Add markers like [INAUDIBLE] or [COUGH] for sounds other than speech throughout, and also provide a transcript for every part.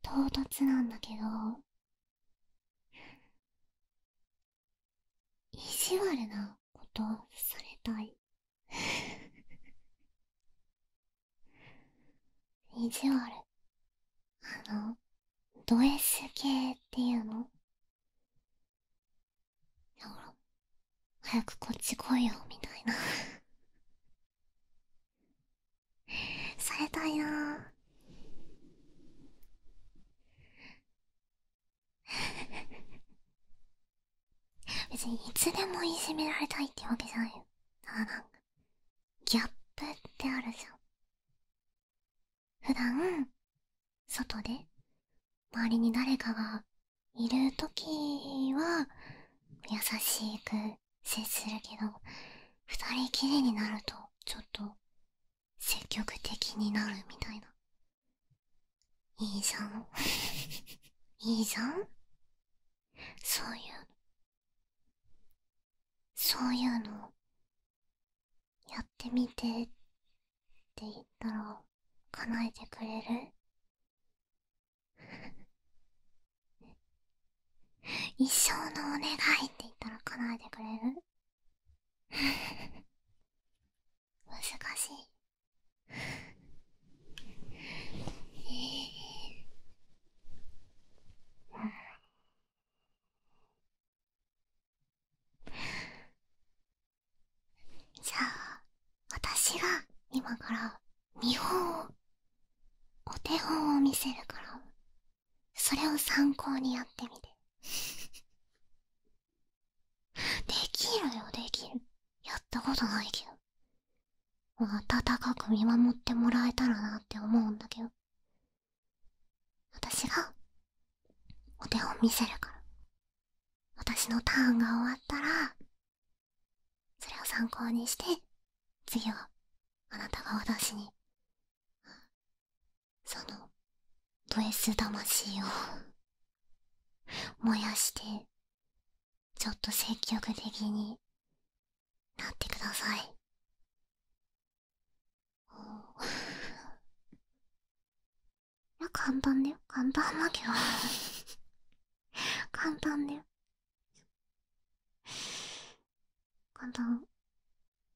唐突なんだけど意地悪なことされたい [LAUGHS] 意地悪あのド S 系っていうのだから早くこっち来いよみたいなされたいな [LAUGHS] 別にいつでもいじめられたいってわけじゃないよただなんかギャップってあるじゃん普段外で周りに誰かがいるときは優しく接するけど二人きりになるとちょっと積極的になるみたいないいじゃん [LAUGHS] いいじゃんそういうそういうのやってみてって言ったら叶えてくれる [LAUGHS] 一生のお願いって言ったら叶えてくれる [LAUGHS] 難しい [LAUGHS] ええ。じゃあ私が今から見本をお手本を見せるからそれを参考にやってみて [LAUGHS] できるよできるやったことないけど暖かく見守ってもらえたらなって思うんだけど私がお手本見せるから私のターンが終わったらそれを参考にして次はあなたが私にそのド S 魂を燃やしてちょっと積極的になってください [LAUGHS] いや簡単だよ簡単だけど簡単だよ。簡単。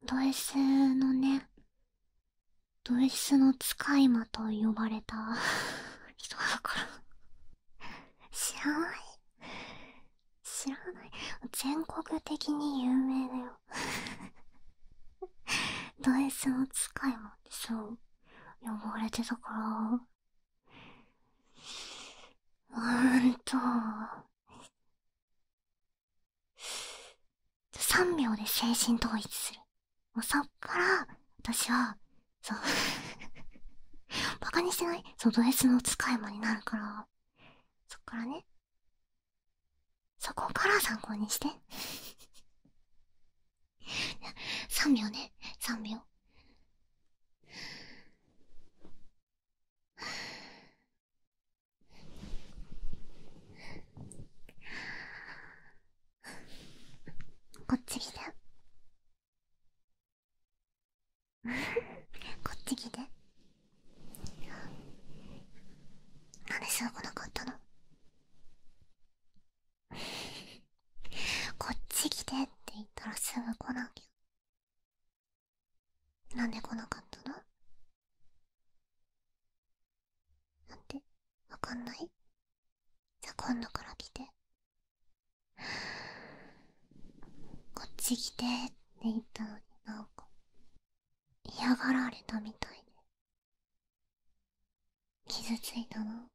ド S のね、ド S の使い魔と呼ばれた [LAUGHS] 人だから知らない知らない全国的に有名だよ [LAUGHS] ド S の使い魔ってさ。う呼ばれてたからうんと3秒で精神統一するそっから私はそうバカ [LAUGHS] にしてないそうド S の使い魔になるからそっからねそこから参考にして3 [LAUGHS] 秒ね3秒こっち来て [LAUGHS] こっち来てなんでうぐ来なかったの [LAUGHS] こっち来てって言ったらすぐ来なきゃなんで来なかったのなんてわかんないじゃあ今度から来てこっち来てって言ったのになんか嫌がられたみたいで傷ついたの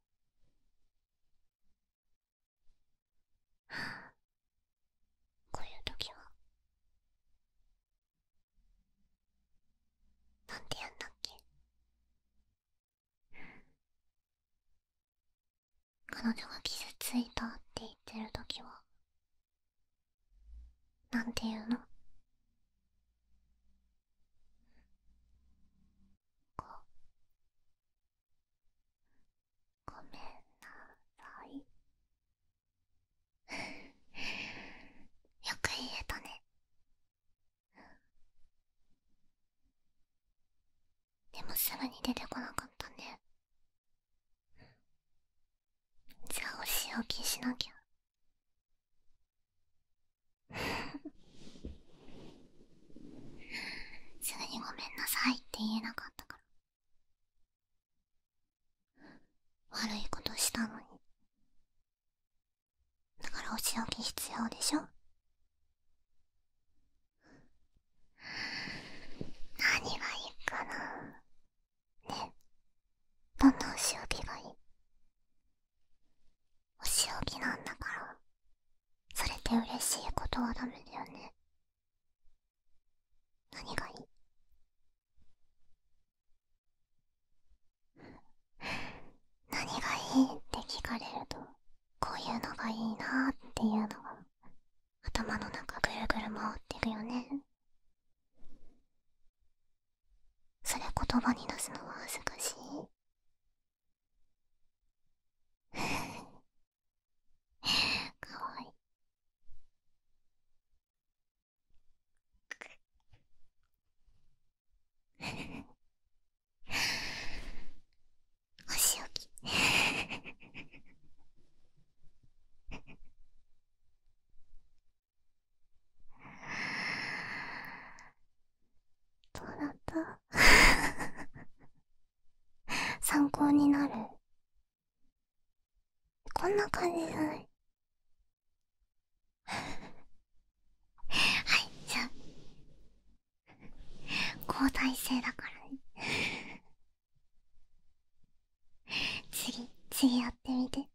[SIGHS] こういう時はなんてやんだっけ [LAUGHS] 彼女が傷ついたって言ってる時はなんて言うのこごめんなさい [LAUGHS] よく言えたねでもすぐに出てこなかったねじゃあお仕置きしなきゃすぐにごめんなさいって言えなかったから悪いことしたのにだからお仕置き必要でしょ何がいいかなねえ、どんなお仕置きがいいお仕置きなんだからそれで嬉しいことはダメだよね何がいい [LAUGHS] 何がいいって聞かれるとこういうのがいいなっていうのが頭の中ぐるぐる回ってくよねそれ言葉に出すのは恥ずかしい [LAUGHS] かわいい。お [LAUGHS] 仕置き。[LAUGHS] どうだった参考になるこんな感じじゃはいじゃあ交代制だからね次次やってみて